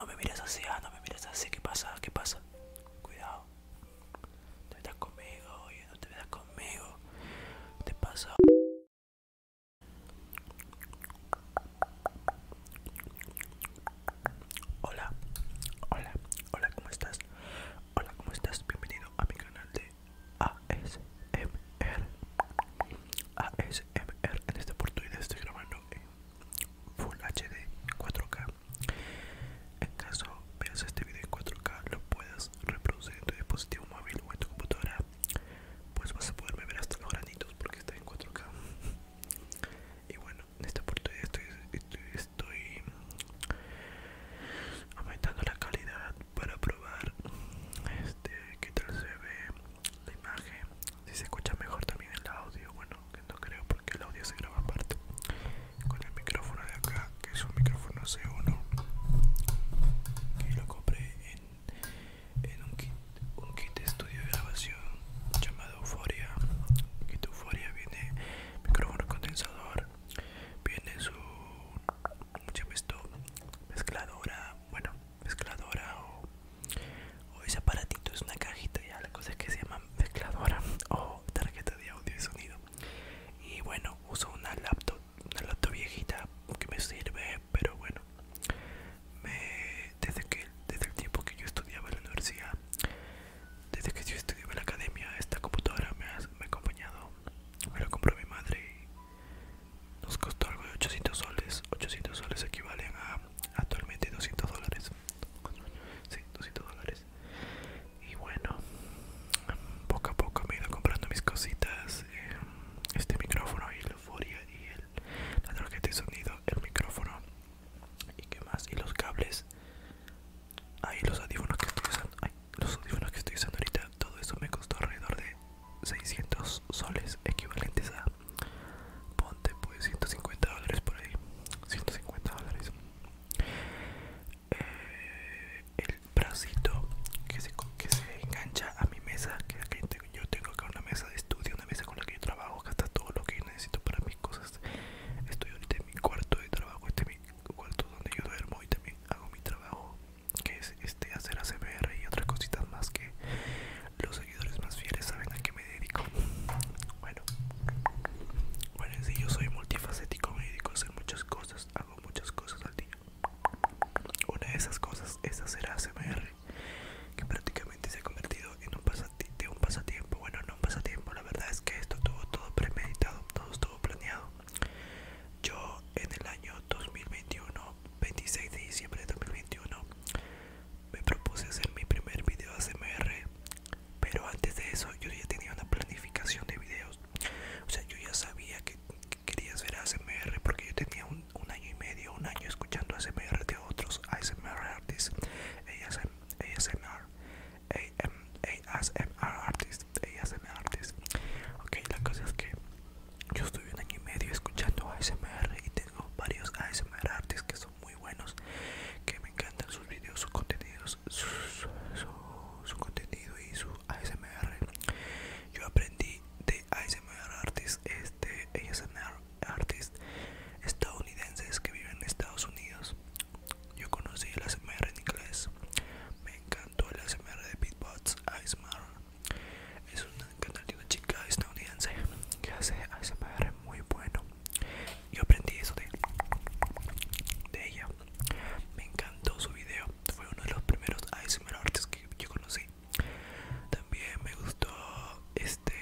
No me mires así, ah, no me mires así, ¿qué pasa? ¿Qué pasa? Cuidado. te metas conmigo, oye, no te metas conmigo. ¿Qué te pasa? Hola, hola, hola, ¿cómo estás? Hola, ¿cómo estás? Bienvenido a mi canal de A.S. ASMR en esta oportunidad estoy grabando en Full HD 4K en caso veas este video en 4K lo puedas reproducir en tu dispositivo móvil o en tu computadora pues vas a poder ver hasta los granitos porque está en 4K y bueno en esta oportunidad estoy, estoy, estoy aumentando la calidad para probar este que tal se ve la imagen si se escucha mejor también el audio bueno que no creo porque el audio se graba aparte con el micrófono de acá que es un micrófono C1 y lo compré en, un, kit, un kit de estudio de grabación llamado Euforia kit Euforia viene micrófono condensador viene su mezcladora bueno mezcladora o, ese aparatito es una cajita ya la cosa que se llama mezcladora o tarjeta de audio y sonido y bueno uso una laptop una laptop viejita que me sirve pero bueno desde que desde el tiempo que yo estudiaba en la universidad desde que yo estudiaba en la academia esta computadora me ha, me acompañado me la compró mi madre nos costó algo de 800 soles. 800 soles equivalen a actualmente 200 dólares. Sí, 200 dólares. Y bueno, poco a poco me he ido comprando mis cositas. Eh, este micrófono y el euforia y el, la tarjeta de sonido, el micrófono y qué más. Y los cables. Ahí los audífonos que estoy usando. Ay, los audífonos que estoy usando ahorita. Todo eso me costó alrededor de 600 soles equivalentes a ponte pues 150 dólares por ahí 150 dólares eh, el bracito que se, que se engancha a mi mesa que yo tengo acá una mesa de estudio una mesa con la que yo trabajo Acá está todo lo que necesito para mis cosas estoy ahorita en mi cuarto de trabajo este es mi cuarto donde yo duermo y también hago mi trabajo que es este hacer ACBR y otras cositas más que los seguidores más fieles saben a qué me dedico. Bueno, bueno, si yo soy multifacético, me dedico a hacer muchas cosas, hago muchas cosas al día. Una de esas cosas es hacer ACBR, que prácticamente se ha convertido en un pasatiempo, Bueno, no un pasatiempo, la verdad es que esto tuvo todo premeditado, todo estuvo planeado. Yo en el año 2021, 26 de diciembre de 2021, me propuse hacer mi primer video ASMR, pero antes de eso yo ya tenía una planificación de videos. O sea, yo ya sabía que, quería hacer ASMR porque yo tenía un, año y medio, un año escuchando ASMR de otros ASMR artists, ASMR, ASMR artists, ASMR artists. Ok, la cosa es que yo estuve un año y medio escuchando ASMR y tengo varios ASMR artists que son muy buenos, que me encantan sus videos, sus contenidos, su, contenido y su ASMR. Yo aprendí de ASMR artists este ASMR artes estadounidenses que viven en Estados Unidos. Yo conocí el ASMR en inglés, me encantó el ASMR de Beatbox, ASMR es un canal de una chica estadounidense que hace ASMR muy bueno. Yo aprendí eso de, ella. Me encantó su video. Fue uno de los primeros ASMR artists que yo conocí. También me gustó este.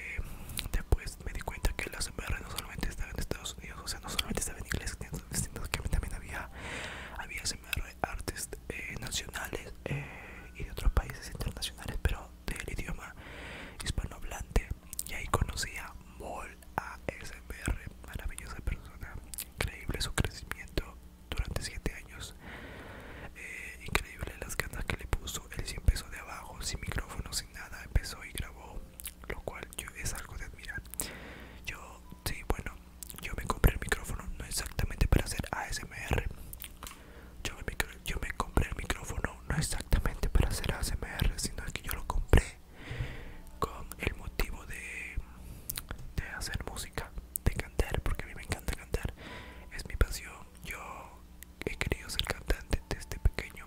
Después me di cuenta que el ASMR no solamente estaba en Estados Unidos, o sea, no solamente estaba en inglés, sino que también había, había ASMR artist eh, nacionales eh, y de otros países internacionales, pero del idioma hispanohablante. Y ahí conocí a Mol ASMR, maravillosa persona, increíble su crecimiento durante 7 años, eh, increíble las ganas que le puso. Él sí empezó de abajo, sin micrófono, sin nada, empezó y grabó, lo cual yo, es algo de admirar. Yo, sí, bueno, yo me compré el micrófono no exactamente para hacer ASMR, yo me, compré el micrófono no exactamente para hacer ASMR, sino que yo lo compré con el motivo de, de hacer música, de cantar, porque a mí me encanta cantar, es mi pasión. Yo he querido ser cantante desde pequeño,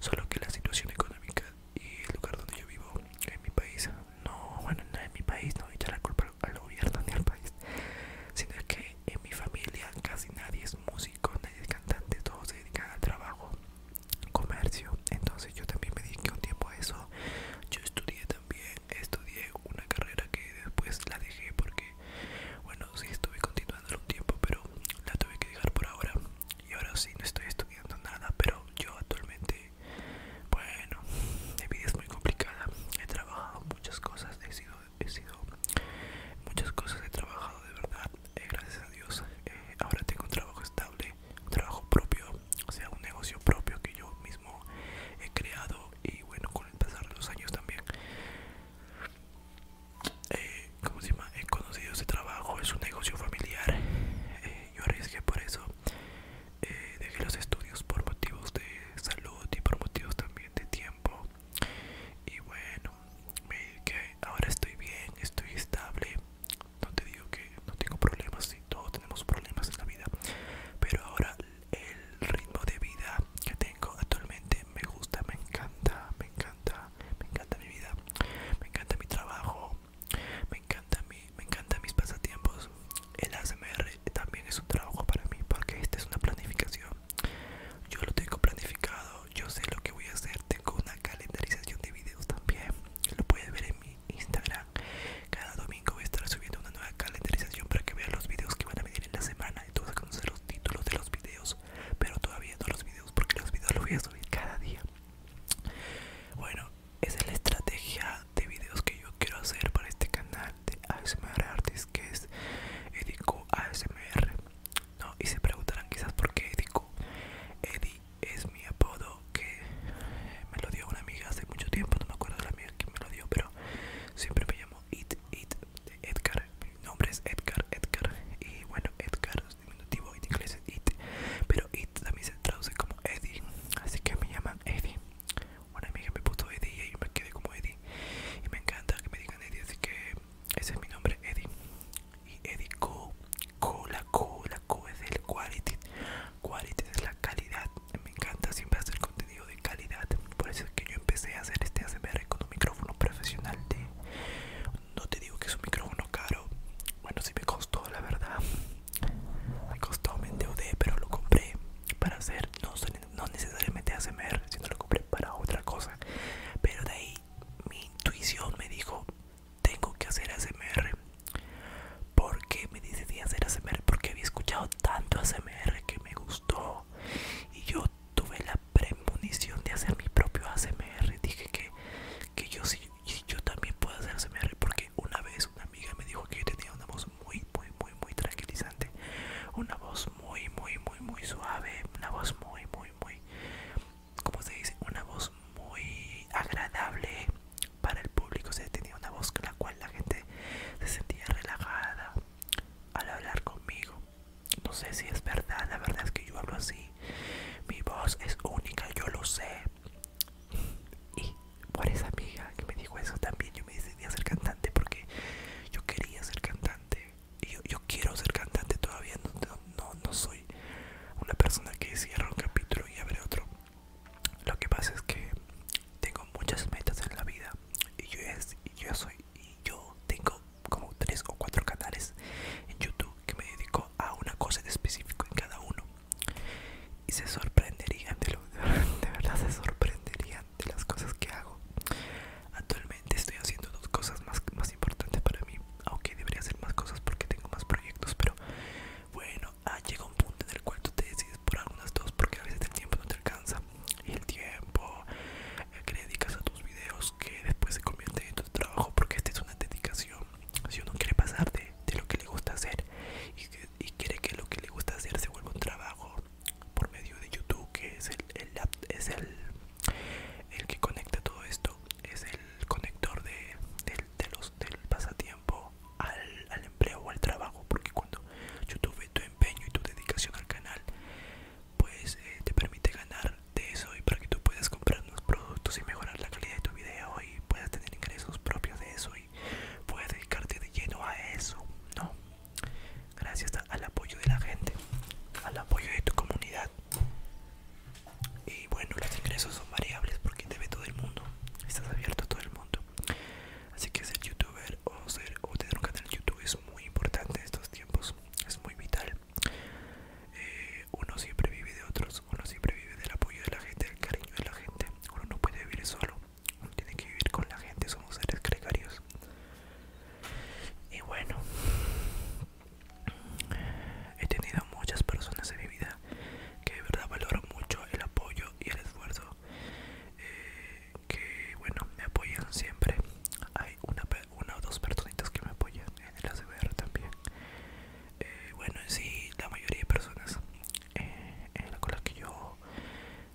solo que la situación económica y el lugar donde yo vivo en mi país, no, bueno, no en mi país, no echar la culpa al gobierno ni al país, sino que en mi familia casi nadie es músico, nadie es cantante, todos se dedican al trabajo, comercio. Entonces yo también me dediqué un tiempo a eso. Yo estudié también, estudié una carrera que después la dejé porque, bueno, sí estuve continuando un tiempo, pero la tuve que dejar por ahora. Y ahora sí no estoy estudiando nada, pero yo actualmente, bueno, mi vida es muy complicada. He trabajado muchas cosas he sido, he sido muchas cosas, he trabajado de verdad, eh, gracias a Dios. Eh, ahora tengo un trabajo estable, un trabajo propio, o sea, un negocio propio que yo mismo he creado y bueno, con el pasar de los años también. Como eh, ¿Cómo se llama? He conocido ese trabajo, es un negocio familiar. yo arriesgué por eso. Eh, dejé los estudios por motivos de salud y por motivos también de tiempo y bueno me ahora estoy bien estoy estable no te digo que no tengo problemas y todos tenemos problemas en la vida pero ahora el ritmo de vida que tengo actualmente me gusta me encanta me encanta me encanta mi vida me encanta mi trabajo me encanta mi me encantan mis pasatiempos el ASMR también es un trabajo para mí porque esta es una planificación yo lo tengo planificado yo sé lo que voy a hacer tengo una calendarización de videos también lo puedes ver en mi Instagram cada domingo voy a estar subiendo una nueva calendarización para que vean los videos que van a venir en la semana y tú conocer los títulos de los videos pero todavía no los videos porque los videos los voy a subir cada día bueno esa es la estrategia de videos que yo quiero hacer para este canal de ASMR Artist que es Edico ASMR no y se preguntarán quizás por qué Edico Edi es mi apodo que me lo dio una amiga hace mucho tiempo no me acuerdo de la amiga que me lo dio pero siempre me llamo It It de Edgar mi nombre es Edgar Edgar y bueno Edgar es diminutivo en inglés es It pero It también se traduce como EDI, así que me llaman EDI una amiga me puso Eddie y ahí me quedé como Eddie y me encanta que me digan Eddie así que ese es mi nombre Eddie y Eddie Co la Co la Co es el quality quality es la calidad me encanta siempre hacer contenido de calidad por eso es que yo empecé a hacer este ASMR con un micrófono profesional de no te digo que es un micrófono caro bueno sí me costó la verdad me costó me endeudé pero lo compré para hacer no son no necesariamente ASMR, sino lo compré para otra cosa. Pero de ahí mi intuición me dijo, tengo que hacer ASMR. Porque me decidí hacer ASMR, porque había escuchado tanto ASMR que me gustó. Y yo tuve la premonición de hacer mi propio ASMR. Dije que, que yo, sí, yo también puedo hacer ASMR porque una vez una amiga me dijo que yo tenía una voz muy, muy, muy, muy tranquilizante. Una voz muy, muy, muy, muy suave. Una voz muy, muy, muy... ¿Cómo se dice? Una voz muy agradable para el público. O sea, tenía una voz con la cual la gente se sentía relajada al hablar conmigo. No sé si es verdad, la verdad es que yo hablo así. Mi voz es única, yo lo sé. Y por esa amiga que me dijo eso también yo me decidí a ser cantante porque yo quería ser cantante y yo, quiero ser cantante todavía no, soy una persona que cierra un capítulo y abre otro lo que pasa es que tengo muchas metas en la vida y yo, es, y yo soy y yo tengo como tres o cuatro canales en YouTube que me dedico a una cosa en específico en cada uno y se sorprenderían de verdad se sorprenderían de las cosas que hago. Actualmente estoy haciendo dos cosas más, más importantes para mí, aunque debería hacer más cosas porque tengo más proyectos, pero bueno, ah, llega un punto en el cual tú te decides por algunas dos porque a veces el tiempo no te alcanza y el tiempo eh, que dedicas a tus videos que después se convierte en tu trabajo porque esta es una dedicación. Si uno quiere pasarte de, lo que le gusta hacer y quiere que lo que le gusta hacer se vuelva un trabajo por medio de YouTube que es el, es el, el que conecta todo esto es el conector de, del pasatiempo al, empleo o al trabajo porque cuando YouTube ve tu empeño y tu dedicación al canal pues eh, te permite ganar de eso y para que tú puedas comprar nuevos productos y mejorar la calidad de tu video y puedas tener ingresos propios de eso puedes dedicarte de lleno a eso, ¿no? Gracias al apoyo de la gente, al apoyo de tu comunidad. Y bueno, los ingresos son variables porque te ve todo el mundo, estás abierto a todo el mundo. Así que ser youtuber o, ser, o tener un canal de YouTube es muy importante en estos tiempos, es muy vital. Eh, uno siempre vive de otros, uno siempre vive del apoyo de la gente, del cariño de la gente. Uno no puede vivir solo tiene que vivir con la gente, somos seres gregarios. Y bueno, he tenido muchas personas en mi vida que de verdad valoro mucho el apoyo y el esfuerzo. Eh, que bueno, me apoyan siempre. Hay una, una o dos personitas que me apoyan en el ACBR también. Bueno, eh, bueno, sí, la mayoría de personas eh, con las que yo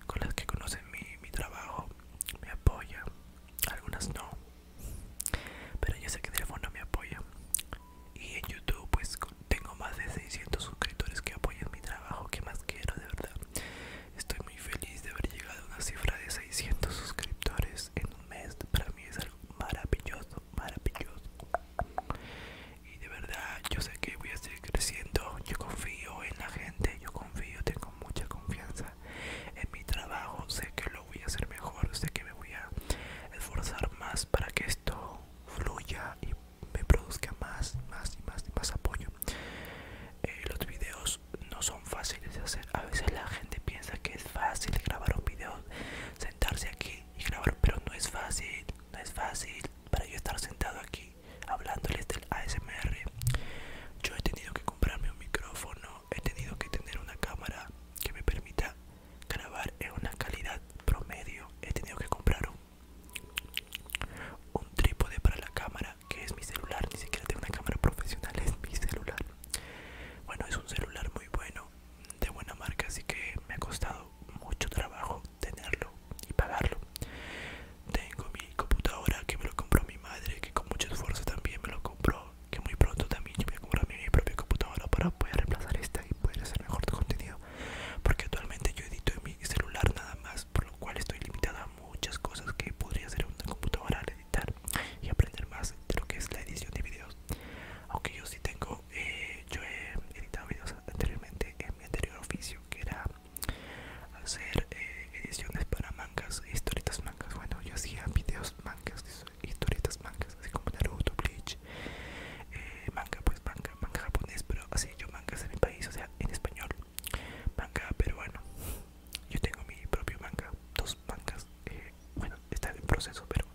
con las que conocen mi, trabajo me apoya algunas no pero yo sé que teléfono me apoya y en YouTube pues tengo más de 600 suscriptores que apoyan mi trabajo que más quiero de verdad estoy muy feliz de haber llegado a una cifra de 600 suscriptores en un mes para mí es algo maravilloso maravilloso y de verdad yo sé que voy a seguir creciendo. Yo confío en la gente, yo confío, tengo mucha confianza en mi trabajo. Sé que lo voy a hacer mejor, sé que me voy a esforzar más para que esto fluya y me produzca más, más y más y más apoyo. Eh, los videos no son fáciles de hacer. A veces la gente piensa que es fácil grabar un video, sentarse aquí y grabar, pero no es fácil, no es fácil. Para yo estar sentado aquí hablándoles del ASMR. Yo he tenido que comprarme un micrófono, he tenido que tener una cámara que me permita grabar en una calidad promedio, he tenido que comprar un trípode para la cámara que es mi celular, ni siquiera tengo una cámara profesional, es mi celular. Bueno, es un celular muy bueno, de buena marca, así que me ha costado mucho trabajo tenerlo y pagarlo. Tengo mi computadora que me lo compró mi madre, que con mucho esfuerzo también me lo compró, que muy pronto también yo voy a comprar mi propia computadora para poder reemplazar esta y poder hacer mejor contenido. Porque actualmente yo edito en mi celular nada más, por lo cual estoy limitado a muchas cosas que podría hacer una computadora al editar y aprender más de lo que es la edición de videos. Aunque yo sí tengo, eh, yo he editado videos anteriormente en mi anterior oficio que era hacer eh, ediciones para mangas, historietas mangas. Bueno, yo hacía videos mangas, historietas mangas, así como Naruto, Bleach, eh, manga, pues manga, manga japonés, pero así yo mangas en mi país, o sea, en español, manga pero bueno, Yo tengo mi propio manga, dos mangas, eh, bueno, está en proceso, pero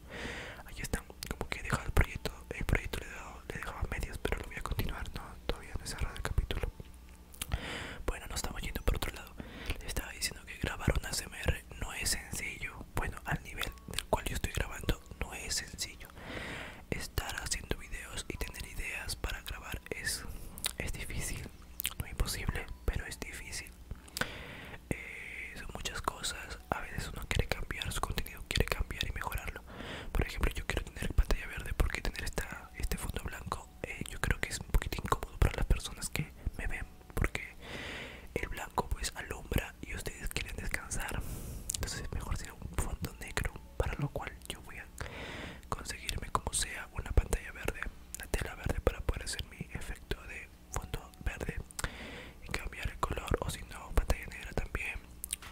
ahí están. Como que he dejado el proyecto, el proyecto le he dado le dejaba medias, pero lo voy a continuar, todavía no he cerrado el capítulo. Bueno, nos estamos yendo por otro lado. le estaba diciendo que grabar una CMR no es sencillo. Bueno, al nivel del cual yo estoy grabando no es sencillo. Estar haciendo videos y tener ideas para grabar es, es difícil. No imposible, pero es difícil. Eh, son muchas cosas. A veces uno quiere cambiar su contenido, quiere cambiar y mejorarlo por ejemplo yo quiero tener pantalla verde porque tener esta, este fondo blanco eh, yo creo que es un poquito incómodo para las personas que me ven porque el blanco pues alumbra y ustedes quieren descansar entonces es mejor ser un fondo negro para lo cual yo voy a conseguirme como sea una pantalla verde una tela verde para poder hacer mi efecto de fondo verde y cambiar el color o si no pantalla negra también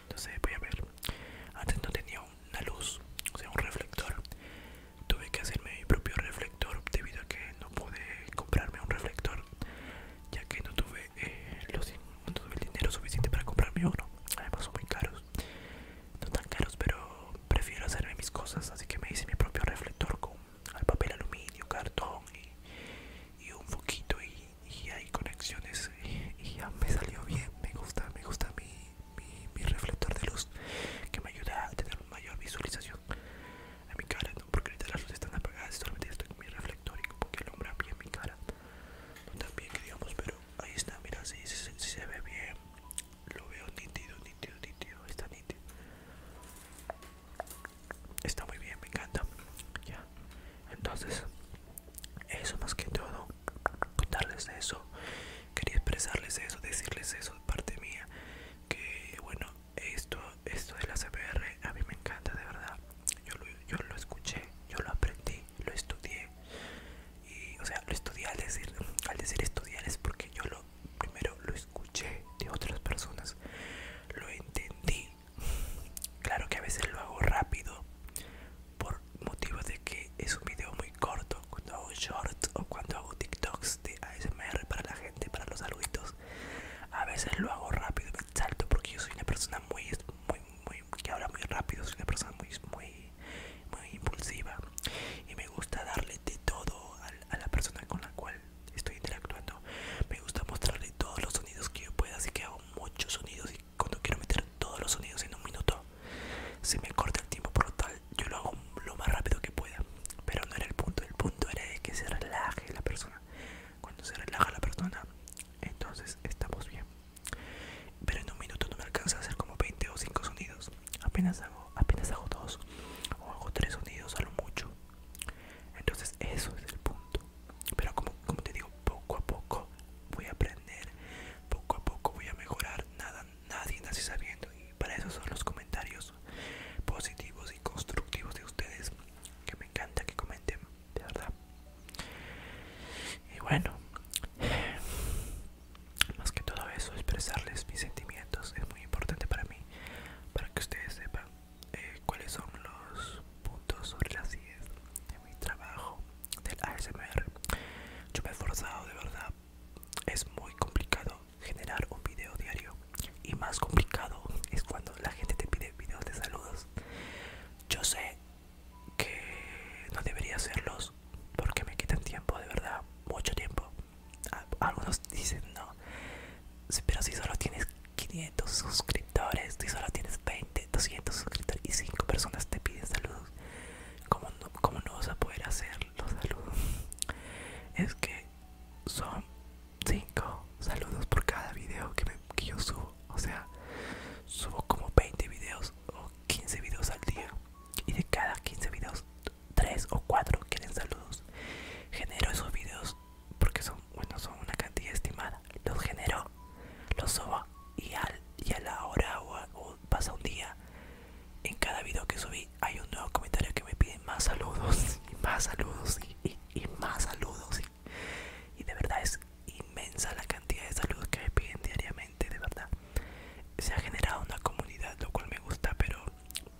entonces voy a ver antes no tenía una luz, o sea, un reflector. Tuve que hacerme mi propio reflector debido a que no pude comprarme un reflector, ya que eh, no tuve, el dinero suficiente para comprarme uno. Además, son muy caros, no tan caros, pero prefiero hacerme mis cosas. Así que me hice mi propio reflector con papel aluminio, cartón y, un foquito y, y hay conexiones. Y, eh, y ya me salió bien, me gusta, me gusta mi, reflector de luz que me ayuda a tener mayor visualización En mi cara, ¿no? porque ahorita las luces están apagadas y solamente estoy con mi reflector y como que alumbra bien mi cara, no tan bien que digamos, pero ahí está, mira, si, se ve bien, lo veo nítido, nítido, nítido, está nítido, está muy bien, me encanta, ya, entonces eso más que todo contarles eso quería expresarles eso decirles eso de parte mía que bueno esto esto de la CPR a mí me encanta de verdad yo lo, escuché yo lo aprendí lo estudié y o sea lo estudié al decir al decir estudiar es porque yo lo primero lo escuché de otras personas lo entendí claro que a veces lo hago rápido por motivo de que es un video muy corto cuando hago shorts o cuando hago tiktoks de ASMR para la gente para los saluditos a veces lo hago rápido me salto porque yo soy una persona muy muy muy que habla muy rápido soy una persona muy muy muy impulsiva y me gusta darle de todo a, a la persona con la cual estoy interactuando me gusta mostrarle todos los sonidos que yo pueda así que hago muchos sonidos y cuando quiero meter todos los sonidos en un minuto se me corta el tiempo por lo tal yo lo hago lo más rápido que pueda pero no era el punto el punto era que se relaje la persona cuando se relaja la persona entonces estamos bien pero en un minuto no me alcanza a hacer como 20 o 5 sonidos apenas hago apenas hago dos o hago tres sonidos a lo mucho entonces eso es el punto pero como te digo poco a poco voy a aprender poco a poco voy a mejorar. Nada, nadie nace sabiendo. Y para eso son los comentarios positivos y constructivos de ustedes. Que me encanta que comenten, de verdad. Y bueno, más que todo eso, expresarles mis sentimientos es muy importante para mí. Para que ustedes sepan eh, cuáles son los puntos sobre las ideas de mi trabajo del ASMR. Yo me he esforzado de verdad. Es muy complicado generar un video diario. Y más complicado es cuando la gente te pide videos de saludos. Yo sé que no debería hacerlos porque me quitan tiempo, de verdad, mucho tiempo. Algunos dicen no, pero si solo tienes 500 suscriptores, si solo tienes 20, 200 suscriptores y 5 personas te piden saludos, como no, no vas a poder hacer los saludos? Es que son 5 saludos por cada video que, que yo subo. O sea, subo como 20 videos o 15 videos al día. Y de cada 15 videos, 3 o 4 quieren saludos. Genero esos videos porque son, bueno, son una cantidad estimada. Los genero lo subo y, al, y a la hora o, pasa un día en cada video que subí hay un nuevo comentario que me piden más saludos y más saludos y, más saludos y, y de verdad es inmensa la cantidad de saludos que me piden diariamente de verdad se ha generado una comunidad lo cual me gusta pero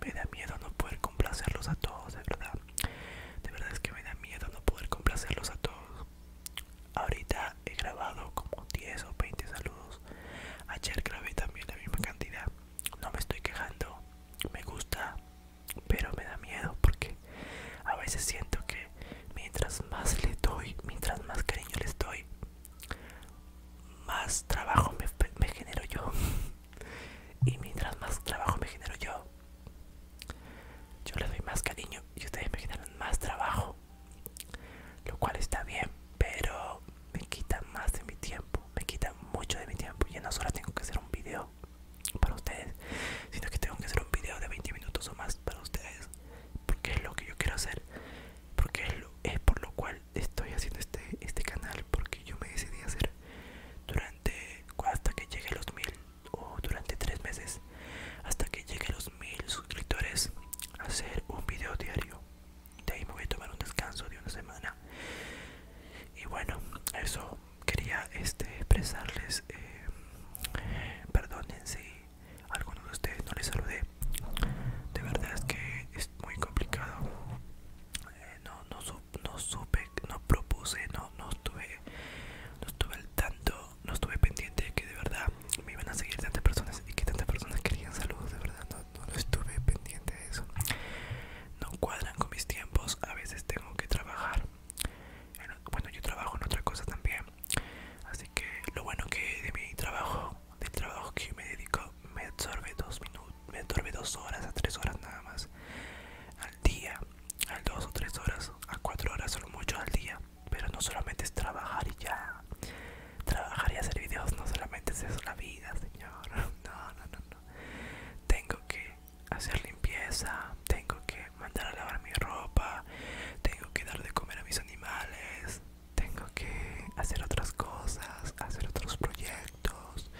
me da miedo no poder complacerlos a todos de verdad de verdad es que me da miedo no poder complacerlos a todos Ahorita he grabado como 10 o 20 saludos. Ayer grabé también la misma cantidad. No me estoy quejando, me gusta, pero me da miedo porque a veces siento que mientras más le doy, mientras más cariño le doy, más trabajo me, me genero yo. Y mientras más trabajo me genero yo, yo les doy más cariño y ustedes me generan más trabajo lo cual está bien pero me quita más de mi tiempo me quita mucho de mi tiempo Ya no solo tengo que hacer un video para ustedes sino que tengo que hacer un video de 20 minutos o más para ustedes porque es lo que yo quiero hacer porque es, por lo cual estoy haciendo este, este canal porque yo me decidí hacer durante hasta que llegue a los mil o durante tres meses hasta que llegue a los mil suscriptores hacer un video diario de ahí me voy a tomar un descanso de una semana y bueno eso quería este expresarles eh, si a algunos de ustedes no les saludé de verdad es que es muy complicado eh, no, no supe no propuse no, estuve no estuve al tanto no estuve pendiente de que de verdad me iban a seguir tantas personas y que tantas personas querían saludos, de verdad no, estuve pendiente de eso. No cuadran con mis tiempos, a veces tengo que trabajar. Bueno, yo trabajo en otra cosa también. Así que lo bueno que de mi trabajo, del trabajo que me dedico, me absorbe dos minutos, me absorbe dos horas a tres horas nada más al día, a dos o tres horas, a cuatro horas o mucho al día. Pero no solamente es trabajar y ya. Trabajar y hacer videos no solamente es eso, la vida, señor. No, no, no, Tengo que hacer limpieza, tengo que mandar a lavar mi ropa, tengo que dar de comer a mis animales, tengo que hacer otras cosas, hacer otros proyectos.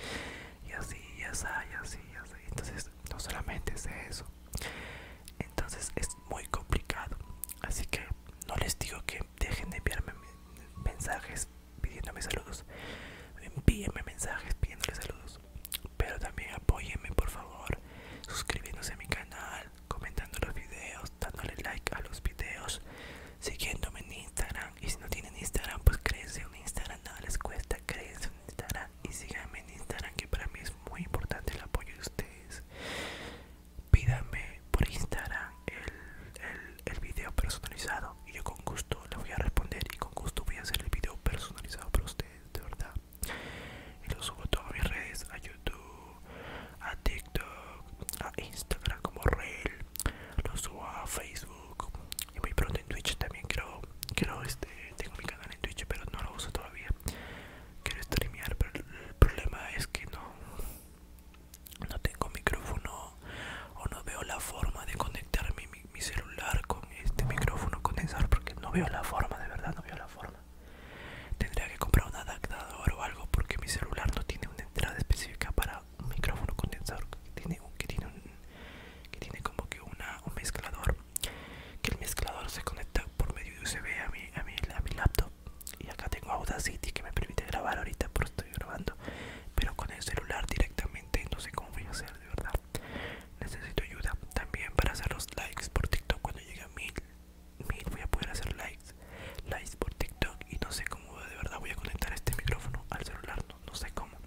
Y así, y así, y así, y así. Entonces, no solamente es eso. Entonces, muy complicado así que no les digo que dejen de enviarme mensajes pidiéndome saludos envíenme mensajes pidiéndole saludos pero también apóyenme por favor suscribiéndose a mi canal comentando los videos dándole like a los videos siguiéndome en instagram y si no tienen instagram pues créense un instagram nada les cuesta créense un instagram y síganme en instagram que para mí es muy importante el apoyo de ustedes pídame por Instagram el, el, video personalizado y yo con gusto les voy a responder y con gusto voy a hacer el video personalizado para ustedes, de verdad. Y lo subo a todas mis redes, a YouTube, a TikTok, a Instagram como Reel, lo subo a Facebook y muy pronto en Twitch también creo, quiero este, tengo mi canal en Twitch pero no lo uso todavía quiero streamear pero el problema es que no no tengo micrófono o no veo la forma de conectar mi, celular con este micrófono condensador porque no veo la forma de verdad no veo la forma tendría que comprar un adaptador o algo porque mi celular no tiene una entrada específica para un micrófono condensador que tiene como que una, un mezclador que el mezclador se conecta por medio de USB a mi a, mi, laptop y acá tengo Audacity que me permite grabar ahorita pero estoy grabando pero con el celular directamente no sé cómo voy a hacer de verdad necesito ayuda también para hacer los likes por TikTok cuando llegue a mil mil voy a poder hacer likes likes por TikTok y no sé cómo de verdad voy a conectar este micrófono al celular no, sé cómo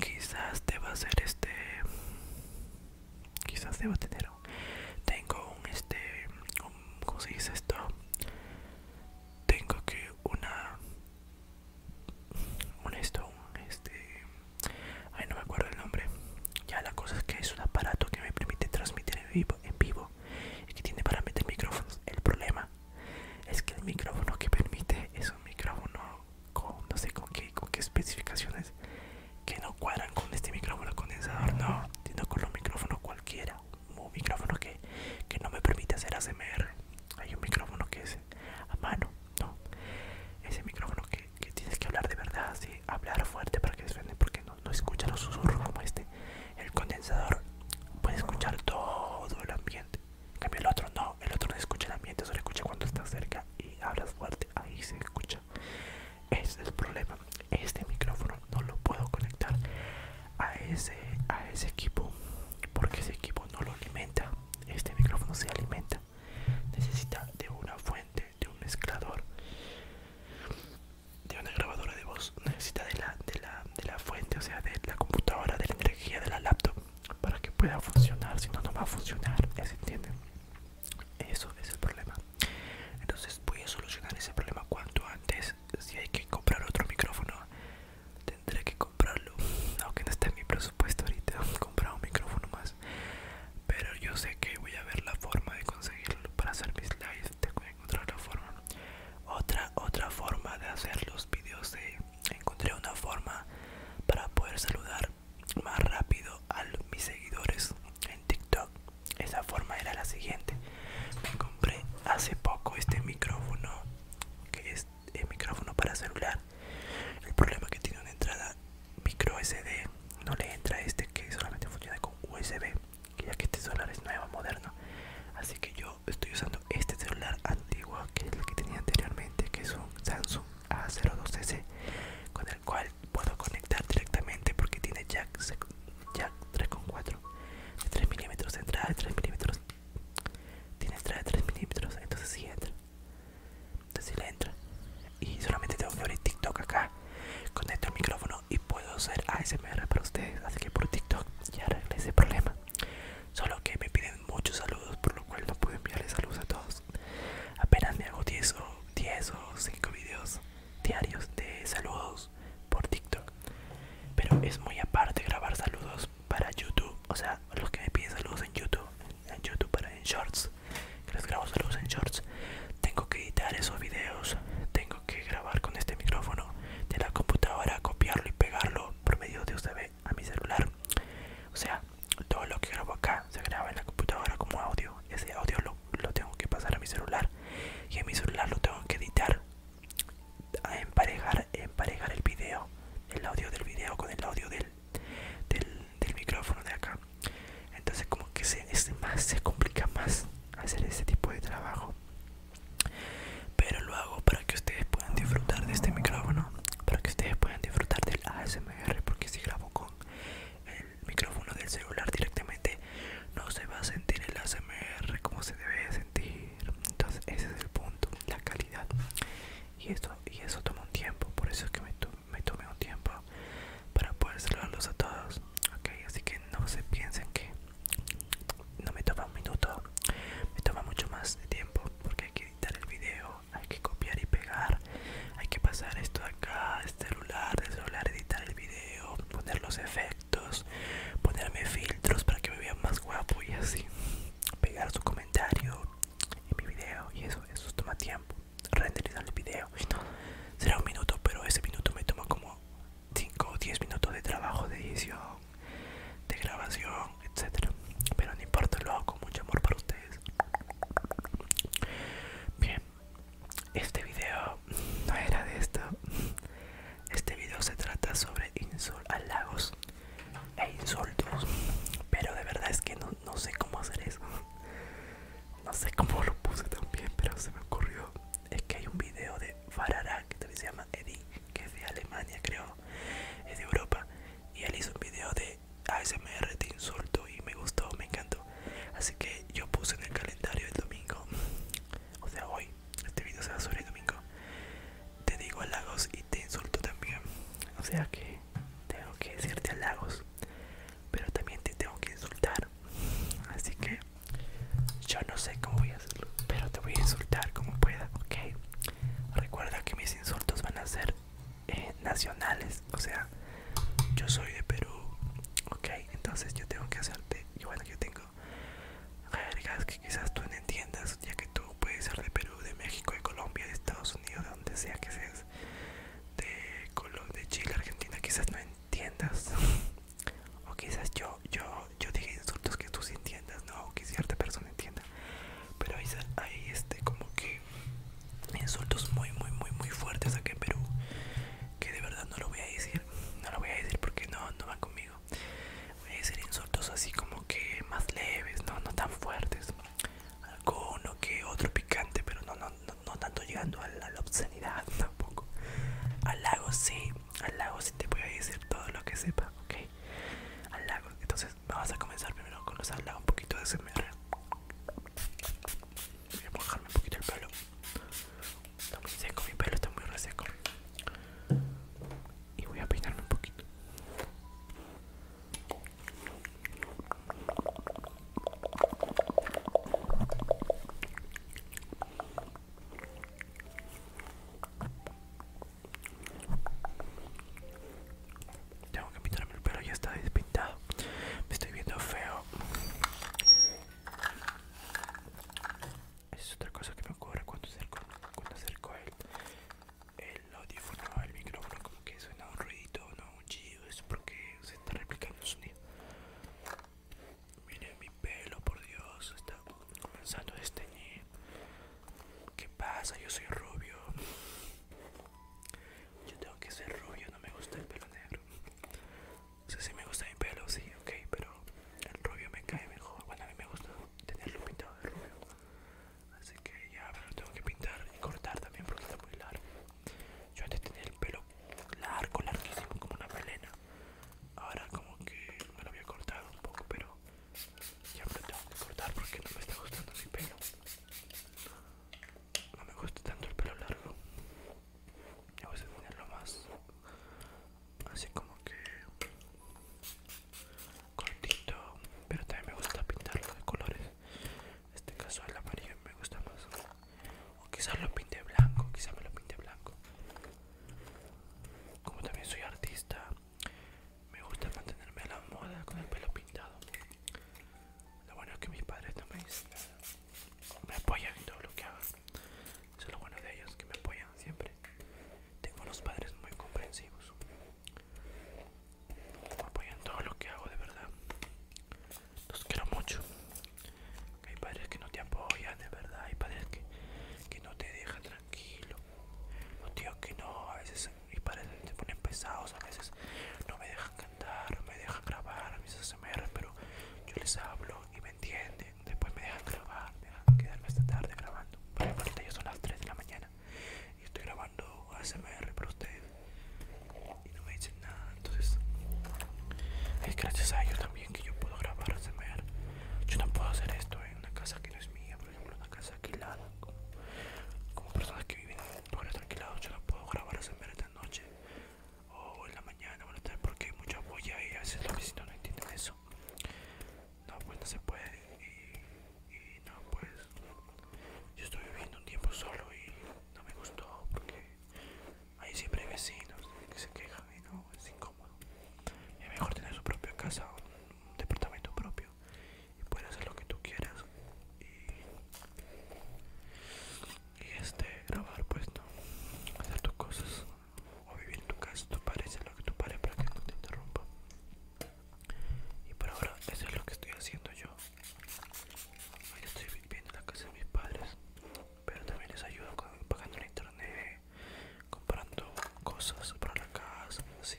quizás te va a hacer este quizás debo tener un, tengo un este como ¿cómo se dice esto? tengo que una un esto este ay no me acuerdo el nombre ya la cosa es que es un aparato que me permite transmitir en vivo en vivo y que tiene para meter micrófonos el problema es que el micrófono que permite es un micrófono con no sé con qué con qué especificaciones que no cuadran con este micrófono condensador, no, sino con los micrófonos cualquiera. Un micrófono que, no me permite hacer ASMR. Hay un micrófono que es a mano, no. Ese micrófono que, tienes que hablar de verdad, ¿sí? hablar fuerte para que suene, porque no, no escucha los susurros como este. El condensador puede escuchar todo el ambiente. cambio, el otro no, el otro no escucha el ambiente, solo escucha cuando estás cerca y hablas fuerte, ahí se escucha es el problema. Este micrófono no lo puedo conectar a ese, a ese equipo porque ese equipo no lo alimenta. Este micrófono se alimenta. Necesita de una fuente, de un mezclador, de una grabadora de voz. Necesita de la, de la, de la fuente, o sea, de la computadora, de la energía, de la laptop para que pueda funcionar. Si no, no va a funcionar. ¿Se entiende? Eso es el problema. Entonces voy a solucionar ese problema cuanto antes. Si hay que comprar otro micrófono, tendré que comprarlo. Aunque no está en mi presupuesto ahorita, comprar un micrófono más. Pero yo sé que voy a ver la forma de conseguirlo para hacer mis lives. Tengo que encontrar la forma. Otra, otra forma de hacer los videos. Encontré una forma para poder saludar más rápido a mis seguidores en TikTok esa forma era la siguiente. Me compré hace poco este micrófono, que es el eh, micrófono para celular. El problema que tiene una entrada micro SD, no le entra este que solamente funciona con USB, ya que este celular es nuevo, moderno. Así que yo estoy usando este celular antiguo, que es el que tenía anteriormente, que es un Samsung A02C, con el cual puedo conectar directamente porque tiene jack, jack 3.4 de 3 milímetros, entrada de 3 milímetros. Tiene entrada de 3 milímetros, entonces si entra. Entonces si le entra. Y solamente tengo que abrir TikTok acá. Conecto el micrófono y puedo hacer ASMR para ustedes. Así que por TikTok ya arreglé ese problema. Solo que me piden muchos saludos, por lo cual no puedo enviarles saludos a todos. Apenas me hago 10 o 10 o 5 videos diarios de saludos por TikTok. Pero es muy aparte grabar saludos para YouTube. O sea, los que me piden saludos en YouTube, en YouTube para en Shorts, les grabo saludos en Shorts. Tengo que editar esos videos, tengo que grabar con este micrófono de la computadora, copiarlo y pegarlo por medio de USB a mi celular. O sea, todo lo que grabo acá se graba en la computadora como audio. Ese audio lo lo, tengo que pasar a mi celular y en mi celular lo tengo que editar a emparejar emparejar el video el audio del video con el audio del, del, micrófono de acá entonces como que se más se complica más hacer ese tipo de trabajo pero lo hago para que ustedes puedan disfrutar de este micrófono para que ustedes puedan disfrutar del ASMR porque si grabo con el micrófono del celular directamente no se va a sentir el ASMR como se debe sentir entonces ese es el punto la calidad y eso y eso toma un tiempo por eso es que me, tomé un tiempo para poder saludarlos a todos así que no se piensen que no me toma un minuto me toma mucho más de tiempo porque hay que editar el video hay que copiar y pegar hay que pasar esto acá, este celular, de celular, editar el video, poner los efectos, ponerme filtros para que me vean más guapo y así, pegar su comentario en mi video y eso, eso toma tiempo, renderizar el video, será un minuto, pero ese minuto me toma como 5 o 10 minutos de trabajo, de edición, de grabación, etcétera, pero no importa, lo hago con mucho amor para ustedes. Bien, este video no era de esto. Este video se trata sobre lagos halagos e insultos. Pero de verdad es que no, sé cómo hacer eso. No sé cómo lo puse también, pero se me ocurrió. Es que hay un video de Farara que también se llama Eddie, que es de Alemania, creo. Es de Europa. Y él hizo un video de ASMR de insulto y me gustó, me encantó. Así que yo puse en el calendario el domingo O sea hoy Este video se va a domingo Te digo halagos y te insulto también O sea que tengo que decirte halagos Pero también te tengo que insultar Así que yo no sé cómo voy a hacerlo Pero te voy a insultar como pueda, ok Recuerda que mis insultos van a ser eh, nacionales O sea yo soy de Perú, ok, entonces yo tengo que hacerte, y bueno, yo tengo jergas que quizás tú no entiendas, ya que tú puedes ser de Perú, de México, de Colombia, de Estados Unidos, de donde sea que seas, de, Colombia de Chile, Argentina, quizás no entiendas, o quizás yo, yo, yo dije insultos que tú sí entiendas, no, o que cierta persona entienda, pero ahí, ahí este, como que insultos muy muy muy muy fuertes aquí en Perú que de verdad no lo voy a decir no lo voy a decir porque no no conmigo voy a decir insultos así como que más leves no no tan fuertes alguno que otro picante pero no no no, tanto llegando a la, obscenidad tampoco Al lago sí al lago sí te voy a decir todo lo que sepa ok lago, entonces vamos a comenzar primero con los halagos un poquito de smr Voy a mojarme un poquito el pelo. Está muy seco, mi pelo está muy reseco. Y voy a peinarme un poquito. Tengo que pintarme el pelo, ya está despintado. Me estoy viendo feo. Es otra cosa que me ocurre cuando acerco, cuando acerco el, el audífono al micrófono, como que suena un ruidito, no un chido es porque se está replicando el sonido. Miren mi pelo, por Dios, está comenzando a desteñir. ¿Qué pasa? Yo soy rubio. Yo tengo que ser rubio, no me gusta el pelo negro. No sé si me gusta mi pelo, sí, ok, pero el rubio me cae mejor. Bueno, a mí me gusta tenerlo pintado de rubio. Así que ya pero lo tengo que pintar y cortar también porque está muy largo. Yo antes tenía el pelo largo, larguísimo, como una melena. Ahora como que me lo había cortado un poco, pero ya me lo tengo que cortar porque no me está gustando mi pelo no me gusta tanto el pelo largo. Me gusta tenerlo más así como que cortito, pero también me gusta pintarlo de colores. En este caso el amarillo me gusta más. O quizás lo pinte blanco, quizás me lo pinte blanco. Como también soy artista, me gusta mantenerme a la moda con el pelo pintado. Lo bueno es que mis padres también me apoyan en todo lo que hago. Eso es lo bueno de ellos, que me apoyan siempre. Tengo unos padres muy comprensivos. Me apoyan todo lo que hago, de verdad. Los quiero mucho. Hay padres que no te apoyan, de verdad. Hay padres que, no te dejan tranquilo. Los tíos que no, a veces mis padres se ponen pesados, a veces no me dejan cantar, no me dejan grabar, a veces pero yo les hablo y me entienden. Después me dejan grabar, me dejan quedarme hasta tarde grabando. Por ejemplo, yo ya son las 3 de la mañana y estoy grabando ASMR para ustedes y no me dicen nada. Entonces, es gracias a ellos también que yo puedo grabar ASMR. Yo no puedo hacer esto en una casa que no es mía, por ejemplo, una casa alquilada. Como, personas que viven en lugares alquilados, yo no puedo grabar ASMR esta noche o oh, en la mañana o en la tarde porque hay mucha polla y a veces los vecinos no entienden eso no pues no se puede y, no pues yo estoy viviendo un tiempo solo y no me gustó porque hay siempre vecinos que se quejan y no es incómodo es mejor tener su propia casa un departamento propio y puedes hacer lo que tú quieras y este grabar pues no hacer tus cosas o vivir en tu casa tu padre lo que tu padre para que no te interrumpa y por ahora eso es lo que estoy haciendo yo hoy estoy viviendo en la casa de mis padres pero también les ayudo pagando el internet comprando cosas para la casa así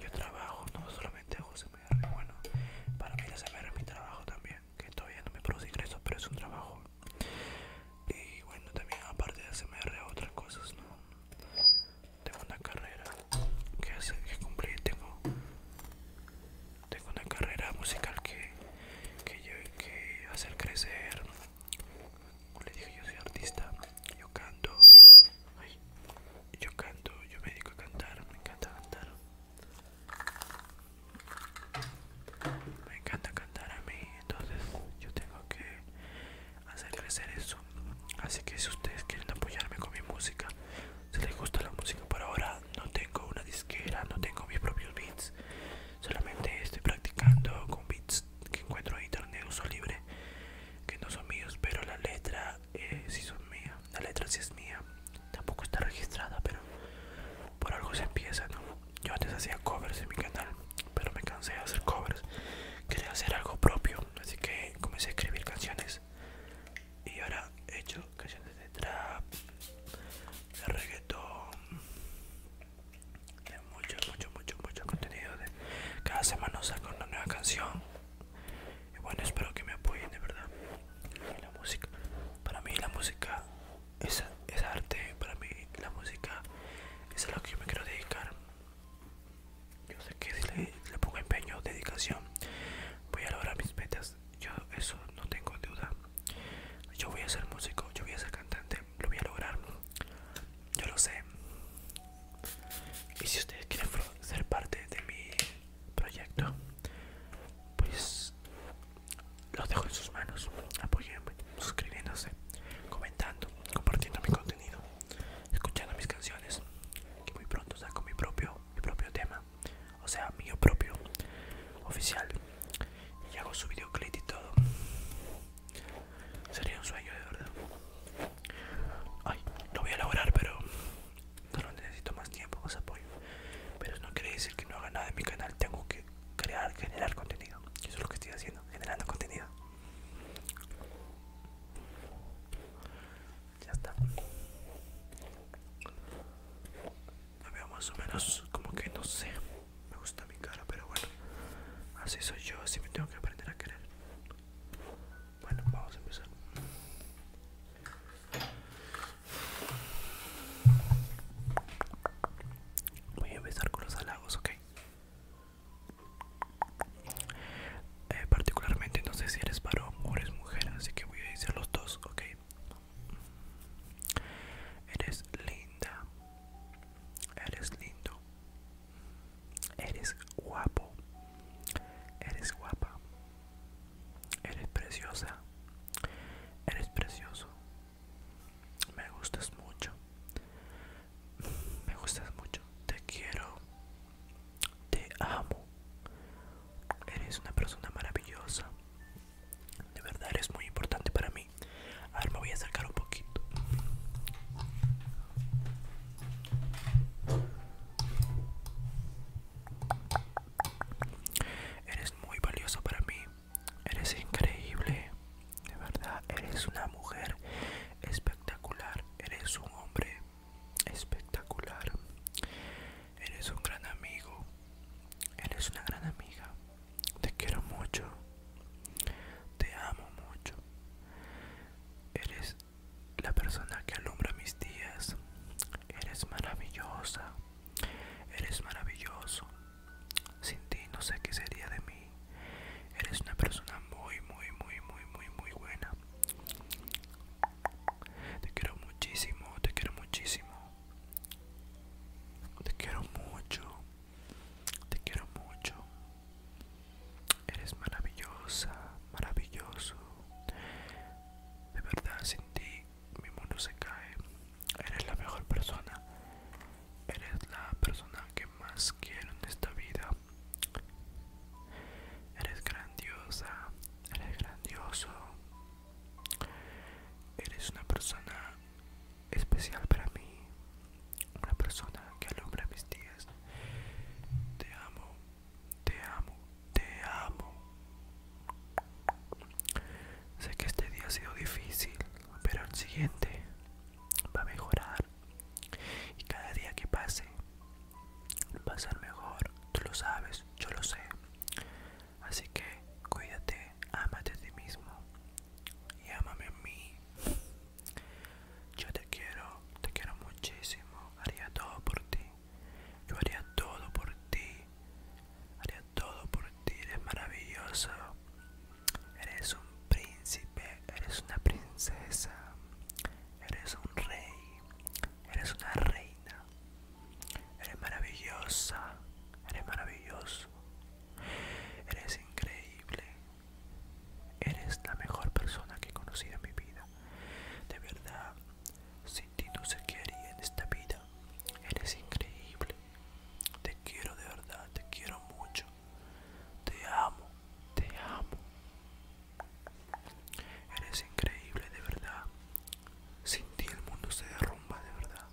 yo trabajo, no solamente hago CMR, bueno, para mí la CMR es mi trabajo también, que todavía no me produce ingresos, pero es un trabajo. Y bueno, también aparte de CMR otras cosas, ¿no? Tengo una carrera que hacer que cumplir, tengo, tengo una carrera musical que, que, yo, que hacer crecer. Como les dije, yo soy artista, yo canto, Ay, yo canto, yo me dedico a cantar, me encanta cantar. Me encanta cantar a mí, entonces yo tengo que hacer crecer eso. Así que si ustedes quieren apoyarme con mi música, si les gusta la música por ahora, no tengo una disquera, no tengo mis propios beats. Solamente estoy practicando con beats que encuentro en internet uso libre, que no son míos, pero la letra eh, si son mías, la letra si es mía, tampoco está registrada, pero por algo se empieza, ¿no? Yo antes hacía covers en mi canal, pero me cansé de hacer covers, quería hacer algo propio, así que comencé a escribir canciones y ahora he hecho canciones de trap, de reggaetón, de mucho, mucho, mucho, mucho contenido. De... Cada semana saco una nueva canción y bueno espero que me apoyen de verdad la música para mí la música es, arte para mí la música es a lo que yo me quiero dedicar yo sé que si le, le pongo empeño dedicación voy a lograr mis metas yo eso no tengo duda yo voy a ser músico yo voy a ser cantante lo voy a lograr yo lo sé y si ustedes quieren ser parte de mi proyecto pues los dejo en sus manos apoyenme suscribiéndose comentando compartiendo mi contenido escuchando mis canciones que muy pronto saco mi propio mi propio tema o sea mío propio oficial y hago su videoclip y todo sería un sueño de verdad ay lo voy a elaborar pero solo necesito más tiempo, más apoyo. Pero eso no quiere decir que no haga nada en mi canal, tengo que crear, generar contenido. Eso es lo que estoy haciendo, generando contenido. Ya está. Me más o menos como que no sé. Me gusta mi cara, pero bueno. Así soy yo, así me tengo que aprender a querer. Bueno, vamos a empezar. Voy a empezar con los halagos, ok. Eh, particularmente no sé si eres varón o eres mujer, así que voy a decir los dos, ok. Eres linda, eres lindo, eres guapo, eres guapa, Eres preciosa. Eres precioso. Me gustas mucho. Me gustas mucho. Te quiero. Te amo. Eres una persona maravillosa. De verdad eres muy importante para mí. ahora me voy a sacar un poquito. Eres muy valioso para mí. Eres increíble. De verdad, eres una mujer espectacular. Eres un hombre espectacular. Eres un gran amigo. Eres una gran amiga. Te quiero mucho. Te amo mucho. Eres la persona que alumbra mis días. Eres maravillosa, eres maravilloso. Sin ti no sé qué sería de mí. Eres una persona muy, muy, muy, muy, muy, muy buena. Te quiero muchísimo, te quiero muchísimo. Te quiero mucho, te quiero mucho. Eres maravillosa, maravilloso. De verdad, sin ti mi mundo se cae. Eres la mejor persona. Eres la persona que más quiero en esta vida. Eres grandiosa. Eres grandioso. Eres una persona especial para mí. Una persona que alumbra mis días. Te amo. Te amo, te amo. Sé que este día ha sido difícil, pero el siguiente va a mejorar. Y cada día que pase va a ser mejor. Tú lo sabes, yo lo sé. Así que cuídate, ámate a ti mismo y ámame a mí. Yo te quiero, te quiero muchísimo. Haría todo por ti. Yo haría todo por ti. Haría todo por ti. Eres maravilloso. Eres un príncipe. Eres una princesa. Eres un rey. Eres una reina. Eres maravillosa. Eres maravilloso. Eres increíble. Eres la mejor persona que he conocido en mi vida. De verdad, sin ti no se quería en esta vida. Eres increíble. Te quiero de verdad, te quiero mucho. Te amo, te amo. Eres increíble de verdad. Sin ti el mundo se derrumba de verdad.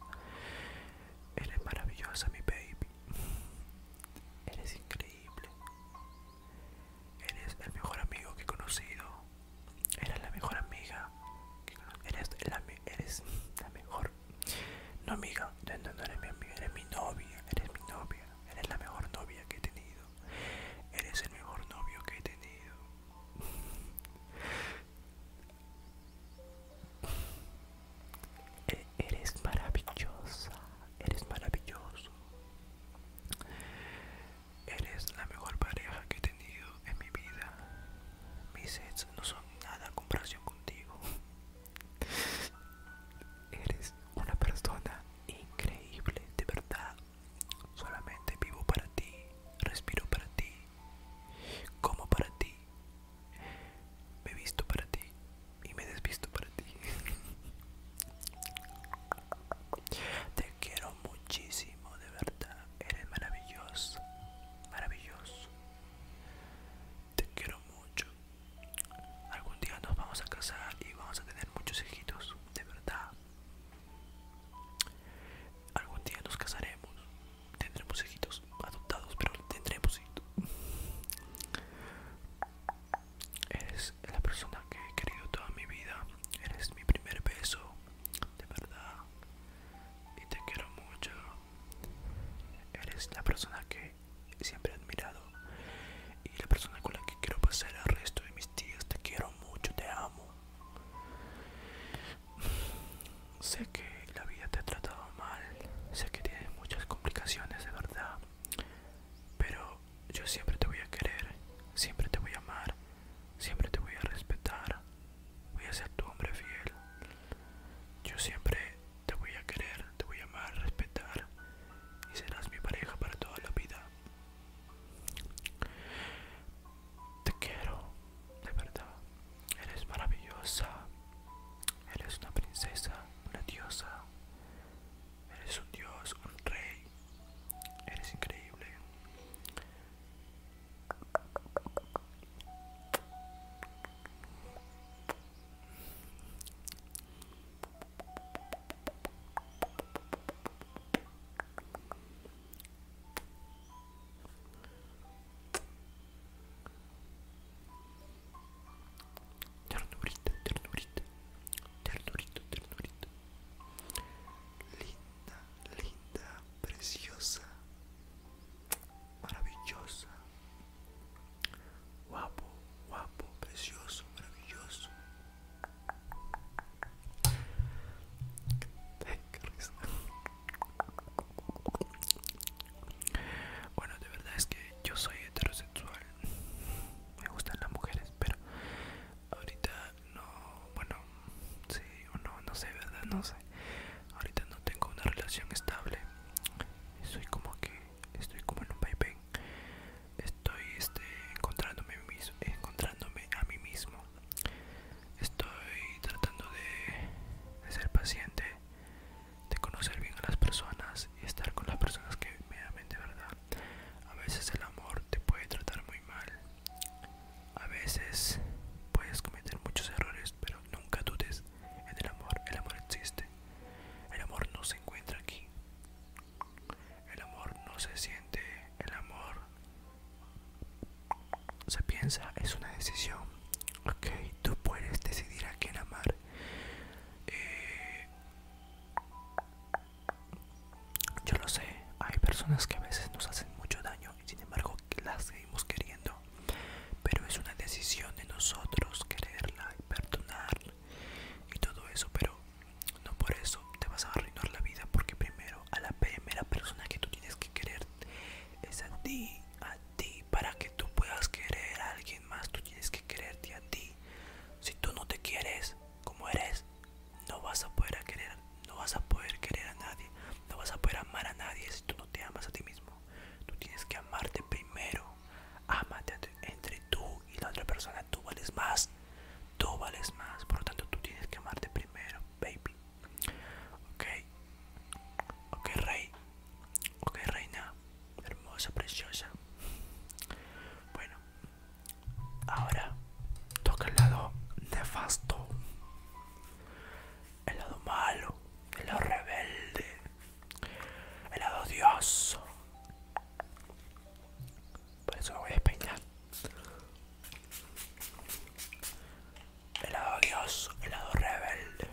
Eres maravillosa mi baby. Eres increíble. Eres el mejor amigo que he conocido. Eres la mejor amiga Eres la, eres la mejor. No amiga, no, no, eres mi amiga, eres mi novia, eres mi novia. Eres la mejor novia que he tenido. Eres el mejor novio que he tenido. E-, eres maravillosa, eres maravilloso. Eres la mejor pareja que he tenido en mi vida. Mis sets no son nada en comparación contigo. Eres una persona increíble, de verdad. Solamente vivo para ti, respiro para ti, como para ti, me visto para ti y me desvisto para ti. Te quiero muchísimo, de verdad. Eres maravilloso. Maravilloso. Te quiero mucho. Algún día nos vamos a casar y vamos a tener muchos hijitos, de verdad. Algún día nos casaremos. Tendremos hijitos adoptados, pero tendremos hijos eres la persona que he querido toda mi vida. Eres mi primer beso, de verdad. Y te quiero mucho. Eres la persona que siempre he admirado. Y la persona con la que quiero pasar el resto de mis días. Te quiero mucho, te amo. Sé que la vida te ha tratado mal. Sé que tienes muchas complicaciones, de verdad. Pero yo siempre te voy a querer, siempre te voy a amar, siempre te voy a respetar, voy a ser tu hombre fiel. Yo siempre te voy a querer, te voy a amar, respetar y serás mi pareja para toda la vida. Te quiero, de verdad. Eres maravillosa. Eres una princesa, una diosa. Eres un dios, un rey. Eres increíble. Ternurita, ternurita, ternurito, ternurito, Linda, linda, preciosa, maravillosa. Guapo, guapo, precioso, maravilloso. Bueno, de verdad es que yo soy heterosexual. Me gustan las mujeres, pero ahorita no bueno sí o no no sé verdad no sé ahorita no tengo una relación estable estoy como que estoy como en un vaivén estoy este encontrándome a mí mismo encontrándome a mismo estoy tratando de, ser paciente de conocer bien a las personas y estar con las personas que me amen de verdad a veces el amor te puede tratar muy mal. A veces puedes cometer muchos errores, pero nunca dudes en el amor. El amor existe. El amor no se encuentra aquí. El amor no se siente. El amor se piensa. Es una decisión. Ok, tú puedes decidir a quién amar. Eh, yo lo sé, hay personas que a veces nos hacen mucho daño y sin embargo las seguimos queriendo. Pero es una decisión de nosotros quererla y perdonar y todo eso. Pero no por eso te vas a arruinar la vida porque primero a la primera persona que tú tienes que querer es a ti, a ti. Para que tú puedas querer a alguien más, tú tienes que quererte a ti. Si tú no te quieres, como eres, no vas a poder querer, no vas a poder querer a nadie, no vas a poder amar a nadie si tú no te amas a ti mismo. Tú tienes que amarte primero. Amate entre tú y la otra persona. Tú vales más. Tú vales más. Por lo tanto, tú tienes que amarte primero, baby. Ok. Ok, rey. Ok, reina. Hermosa, preciosa. Bueno, Ahora toca el lado nefasto, el lado malo, el lado rebelde, el lado odioso. Por eso me voy a peinar. El lado odioso, el lado rebelde,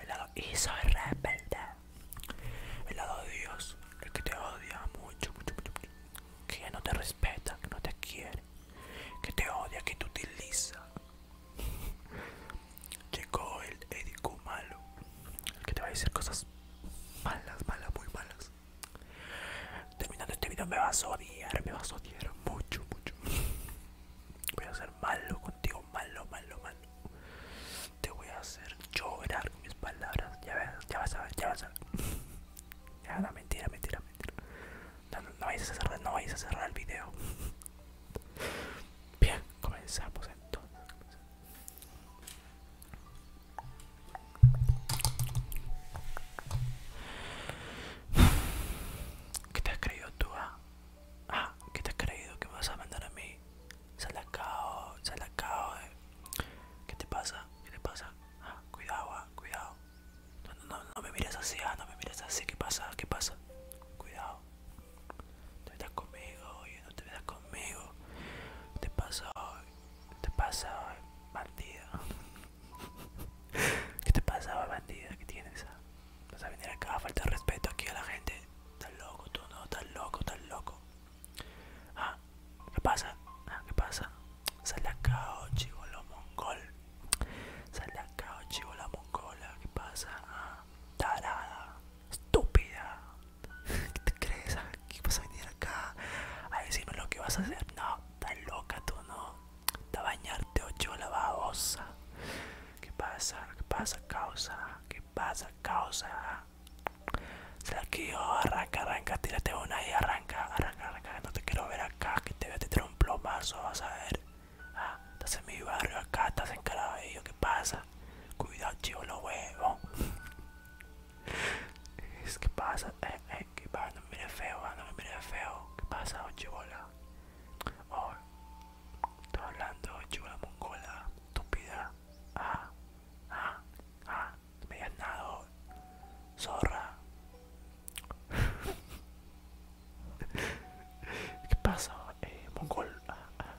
el lado y soy rebelde, el lado odioso, el que te odia mucho, mucho, mucho, que no te respeta, que no te quiere, que te odia, que te utiliza. Llegó el édico malo, el que te va a decir cosas malas, malas, muy malas. Terminando este video me vas a odiar, me vas a odiar mucho, mucho. Voy a ser malo contigo, malo, malo, malo. Te voy a hacer llorar con mis palabras. Ya, ves, ya vas a ver, ya vas a ver mentira, mentira, mentira. No, vais a cerrar, el video. Bien, comenzamos entonces. ¿Qué te has creído tú? Ah? ah ¿qué te has creído que me vas a mandar a mí? Se se salacao. acabo. Eh. ¿Qué te pasa? ¿Qué te pasa? Ah, cuidado, ah, cuidado. No, no, no, no me mires así, ah, no me mires así. ¿Qué pasa? ¿Qué pasa? Cuidado. No estás conmigo, oye, no te metas conmigo. Te pasa hoy, te pasa hoy, bandida. ¿Qué te pasa, bandida? ¿Qué tienes? Ah? Vas a venir acá a respeto aquí a la gente. Estás loco, tú no, estás loco, estás loco. Ah, ¿qué pasa? Ah, ¿qué pasa? Sal de acá, oh, chivolo mongol. Sal de acá, oh, la mongola. ¿Qué pasa? Ah, tarada, estúpida. ¿Qué te crees? ¿Qué vas a venir acá? A decirme lo que vas a hacer. No, estás loca tú, no. Te bañarte, oh, la babosa. ¿Qué pasa? ¿Qué pasa, causa? ¿Qué pasa, causa? Tranquilo, arranca, arranca, tírate una y arranca, arranca, arranca. No te quiero ver acá, que te voy a tirar un plomazo, vas a ver. Ah, estás en mi barrio acá, estás en ellos ¿qué pasa? Cuidado, chivo, los huevos. es que pasa, eh, eh, que pasa, no me mires feo, no me mires feo. ¿Qué pasa, oh, chivola? Oh, estoy hablando, chivola mongola, estúpida. Ah, ah, ah, me has zorra. ¿Qué pasa, eh, mongol? Ah, ah.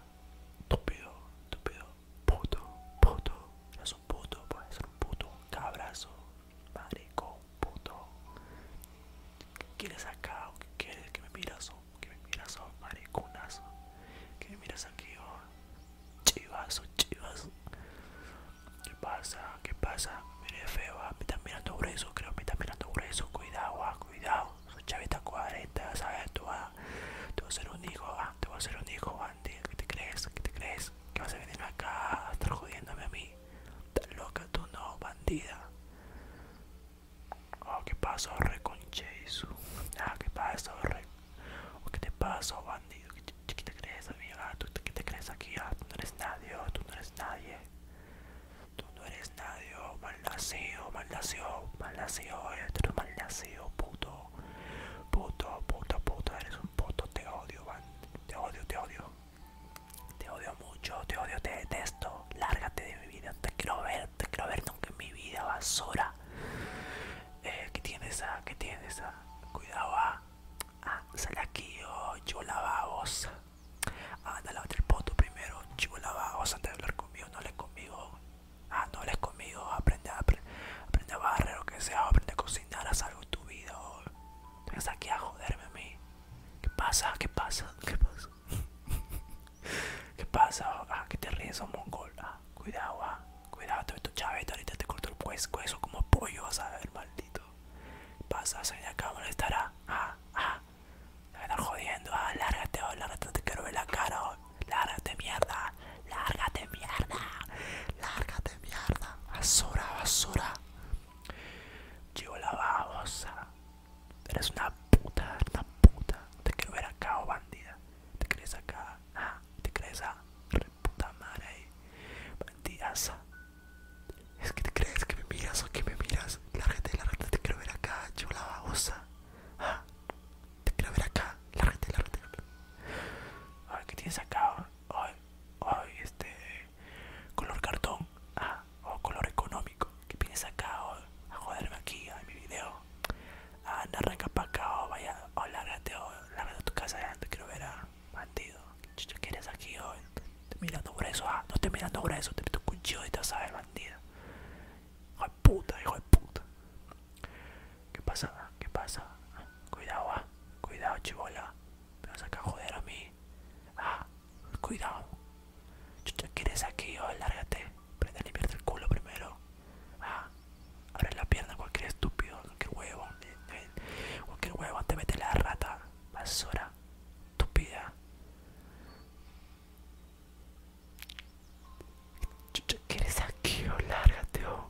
Túpido, puto, puto. No es un puto, puede ser un puto, un cabrazo, marico, puto. ¿Qué quieres acá? ¿Qué quieres? ¿Que me miras? ¿Qué me miras? Oh, ¿Qué me miras oh, aquí? Oh? Chivas, chivas. ¿Qué pasa? ¿Qué pasa? Mire feo, ah, me está mirando grueso, creo me está mirando grueso. Cuidado, ah, cuidado. Su chavita cuarenta, ¿sabes? Tú, ah, tú vas a ser un hijo, ah, tú vas a ser un hijo, bandido ¿Qué te crees? ¿Qué te crees? ¿Qué vas a venir acá a estar jodiéndome a mí? Estás loca tú, no, bandida. Oh, ¿qué pasó, reconche? Ah, ¿qué pasó, reconche? qué te pasa, bandido? ¿Qué te crees, amiga? ¿Tú qué te crees aquí? Ah, tú no eres nadie, tú no eres nadie. Tú no eres nadie, mal oh, malnacido, mal eh, eres un malnacido, puto. Puto, puto, puto, eres un puto, te odio, van Te odio, te odio. Te odio mucho, te odio, te detesto. Lárgate de mi vida, te quiero ver, te quiero ver nunca en mi vida, basura. Eh, ¿Qué tienes? Ah? ¿Qué tienes? Ah? cuidado ah. ah, sale aquí oh, yo Ah, anda lavate el poto primero yo lavabos antes de hablar conmigo no les conmigo ah no les conmigo aprende a aprende a barrer o que sea aprende a cocinar haz algo tu vida Venga, oh. aquí a joderme a mí qué pasa qué pasa qué pasa ¿Qué pasa? Ah, que te ríes, un oh, mongol. Ah, cuidado, ah. Cuidado, tu chaveta, ahorita te corto el eso como pollo, vas a ver, maldito. Pasas salir la cámara, estará. Ah, ah. a estar jodiendo, ah, lárgate, oh, lárgate, te quiero ver la cara, oh. Lárgate, mierda. Lárgate, mierda. Lárgate, mierda. Basura, basura. Chivo la babosa. Eres una puta, una puta. Te quiero ver acá, oh bandida. Te crees acá, ah, te crees acá, ah, puta madre, Es que te crees que me miras o que me miras. La gente de la rata te quiero ver acá, la babosa. Ah, te quiero ver acá, La gente de la rata ¿qué tienes acá? Hoy este. Color cartón, ah, o color económico. ¿Qué tienes acá? hoy a joderme aquí, a mi video. Ah, Anda, arranca pa' acá, vaya, oh, lárgate, o lárgate a tu casa, ya quiero ver a ah, bandido. ¿Qué quieres aquí, hoy? Estoy mirando eso, ah, no estoy mirando eso, te meto un cuchillo y te sabes, bandido. Hijo de puta, hijo de puta. ¿Qué pasa? ¿Qué pasa? Cuidado, ah, cuidado, chivola. Me vas a acá joder a mí. Ah, cuidado. Chucha, quieres eres aquí? Oh, lárgate. Prende a limpiarte el culo primero. Ah, Abre la pierna cualquier estúpido, que huevo, eh, eh, cualquier huevo, te mete la rata, basura, estúpida. ¿Quieres aquí o oh, lárgate o? Oh?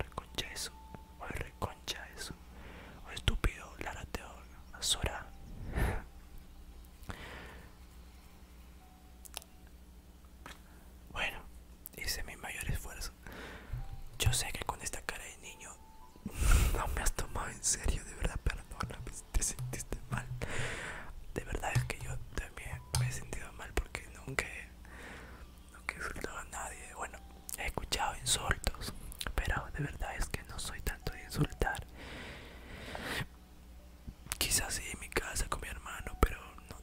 Reconcha eso, o oh, reconcha eso, o estúpido, lárgate o basura. Bueno, hice mi mayor esfuerzo. Yo sé que con esta cara de niño no me has tomado en serio, de verdad, perdona, te sentiste mal. De verdad es que yo también me he sentido mal porque nunca nunca he insultado a nadie. Bueno, he escuchado insultos, pero de verdad es que no soy tanto de insultar. Quizás sí en mi casa con mi hermano, pero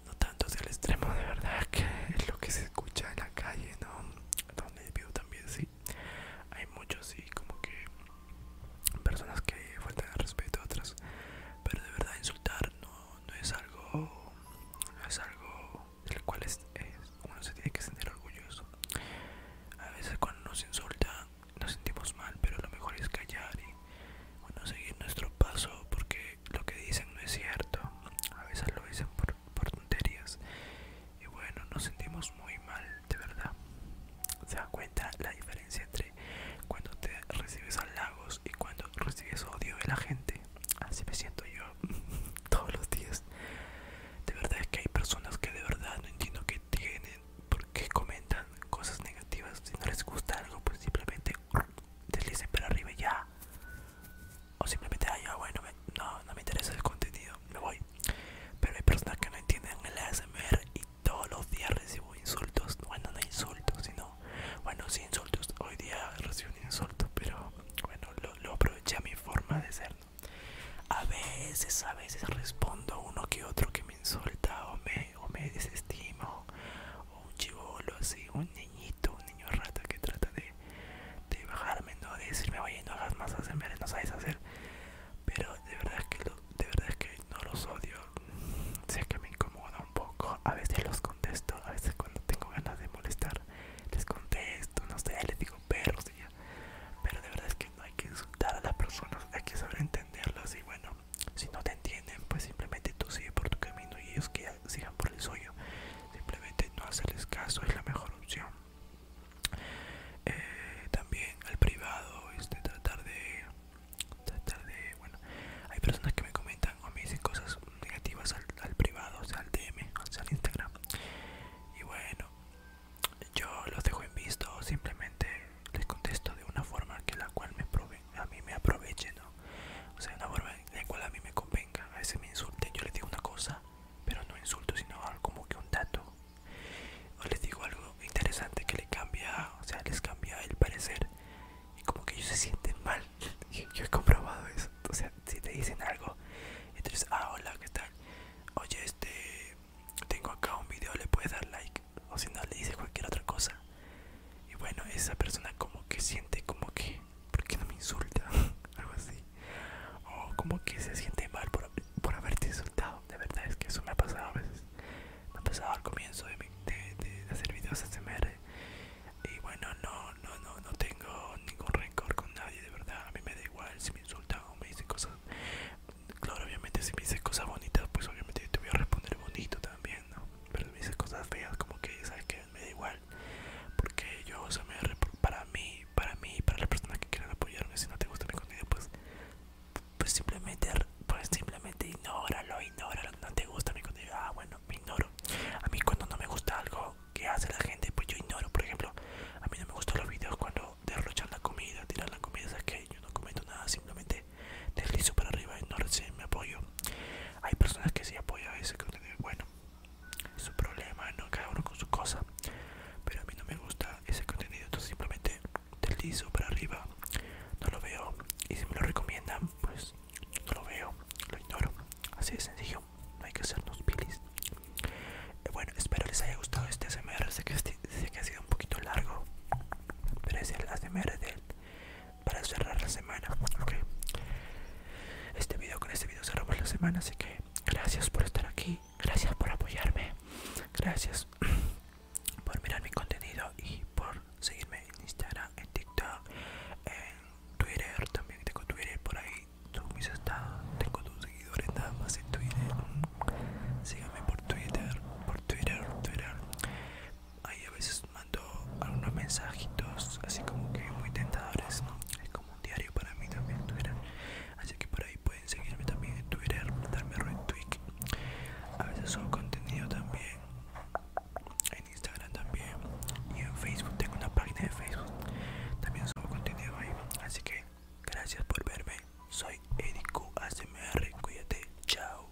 no, tanto hacia el extremo, de verdad que es lo que se escucha en la calle, ¿no? Donde vivo también, sí. Hay muchos, sí, como que personas que faltan al respeto a otras, pero de verdad insultar no, es algo, no es algo del cual uno se tiene que sentir orgulloso. A veces cuando nos insultan nos sentimos mal, pero lo mejor es callar y bueno, seguir nuestro paso porque lo que dicen no es cierto. A veces lo dicen por, tonterías. Y bueno, nos sentimos muy mal, de verdad. ¿Se da cuenta la diferencia entre cuando te recibes halagos y cuando recibes odio de la gente? Así me siento yo todos los días. De verdad es que hay personas que de verdad no entiendo que tienen, Porque comentan cosas negativas. Si no les gusta algo, pues simplemente deslicen para arriba ya. O simplemente, ah, bueno, no, me interesa el contenido, me voy. Pero hay personas que no entienden el ASMR y todos los días recibo insultos. Bueno, no insultos, sino, bueno, sí insultos. Hoy día recibo un insulto, pero bueno, lo, aproveché a mi forma de ser. A veces, a veces respondo uno que otro que me insulta o me o me desestimo, o un chivolo así, un niñito, un niño rata que trata de, de bajarme, no decirme vaya no hagas más, hacerme, no sabes hacer, pero de verdad es que de verdad que no los odio, sé que me incomoda un poco, a veces los contesto, a veces cuando tengo ganas de molestar les contesto, no sé, les digo perros y pero de verdad es que no hay que insultar a las personas, hay que saber entenderlos y bueno, si no te entienden, pues simplemente tú sigue por tu camino y ellos que sigan por el suyo. Simplemente no hacerles caso es la mejor opción. Eh, también al privado, este, tratar de, tratar de, bueno, hay personas que me comentan o me dicen cosas negativas al, privado, o sea, al DM, o sea, al Instagram. Y bueno, yo los dejo en visto, simplemente les contesto de una forma que la cual me, prove, a mí me aproveche, ¿no? O sea, una forma en la cual a mí me convenga. A veces me insulten, yo les digo una cosa, pero no insulto, sino como que un dato. O les digo algo interesante que le cambia, o sea, les cambia el parecer. Y como que ellos se sienten mal. Yo he comprobado eso. O sea, si te dicen algo, entonces, ah, hola, ¿qué tal? Oye, este, tengo acá un video, le puedes dar like. O si no, le dices cualquier otra cosa y bueno esa persona como que siente como que ¿por qué no me insulta? algo así o como que se siente mal por, haberte insultado de verdad es que eso me ha pasado a veces me ha pasado al comienzo de, hacer videos ASMR y bueno no no no no tengo ningún rencor con nadie de verdad a mí me da igual si me insultan o me dicen cosas claro obviamente si me dicen cosas bonitas pues obviamente te voy a responder bonito también no, pero me dice cosas feas como que, ¿sabes que Me da igual, porque yo, para mí, para mí, para las personas que quieran apoyarme, si no te gusta mi contenido, pues, pues simplemente, pues simplemente ignóralo, ignóralo, no te gusta mi contenido, ah, bueno, me ignoro. A mí cuando no me gusta algo que hace la gente, pues yo ignoro, por ejemplo, a mí no me gustan los videos cuando derrochan la comida, tiran la comida, esas que Yo no comento nada, simplemente deslizo para arriba y no reciben mi apoyo. Hay personas que sí apoyan ese contenido, bueno, es su problema, ¿no? cada uno con su cosa. Pero a mí no me gusta ese contenido, entonces simplemente deslizo para arriba, no lo veo. Y si me lo recomiendan, pues no lo veo, lo ignoro. Así de sencillo, no hay que hacernos pilis. Eh, bueno, espero les haya gustado este ASMR, sé que, ha sido un poquito largo, pero es el ASMR del para cerrar la semana, porque Este video, con este video cerramos la semana, así que gracias por estar aquí, gracias por apoyarme, gracias por mirar mi contenido y por seguirme en Instagram, en TikTok, en Twitter, también tengo Twitter por ahí, tengo tus seguidores nada más en Twitter, síganme por Twitter, por Twitter, Twitter, hay a veces algunos mensajitos así como que muy tentadores es como un diario para mí también Twitter así que por ahí pueden seguirme también en Twitter darme retweet a veces subo contenido también en Instagram también y en Facebook tengo una página de Facebook también subo contenido ahí así que gracias por verme soy Eric ASMR cuídate chao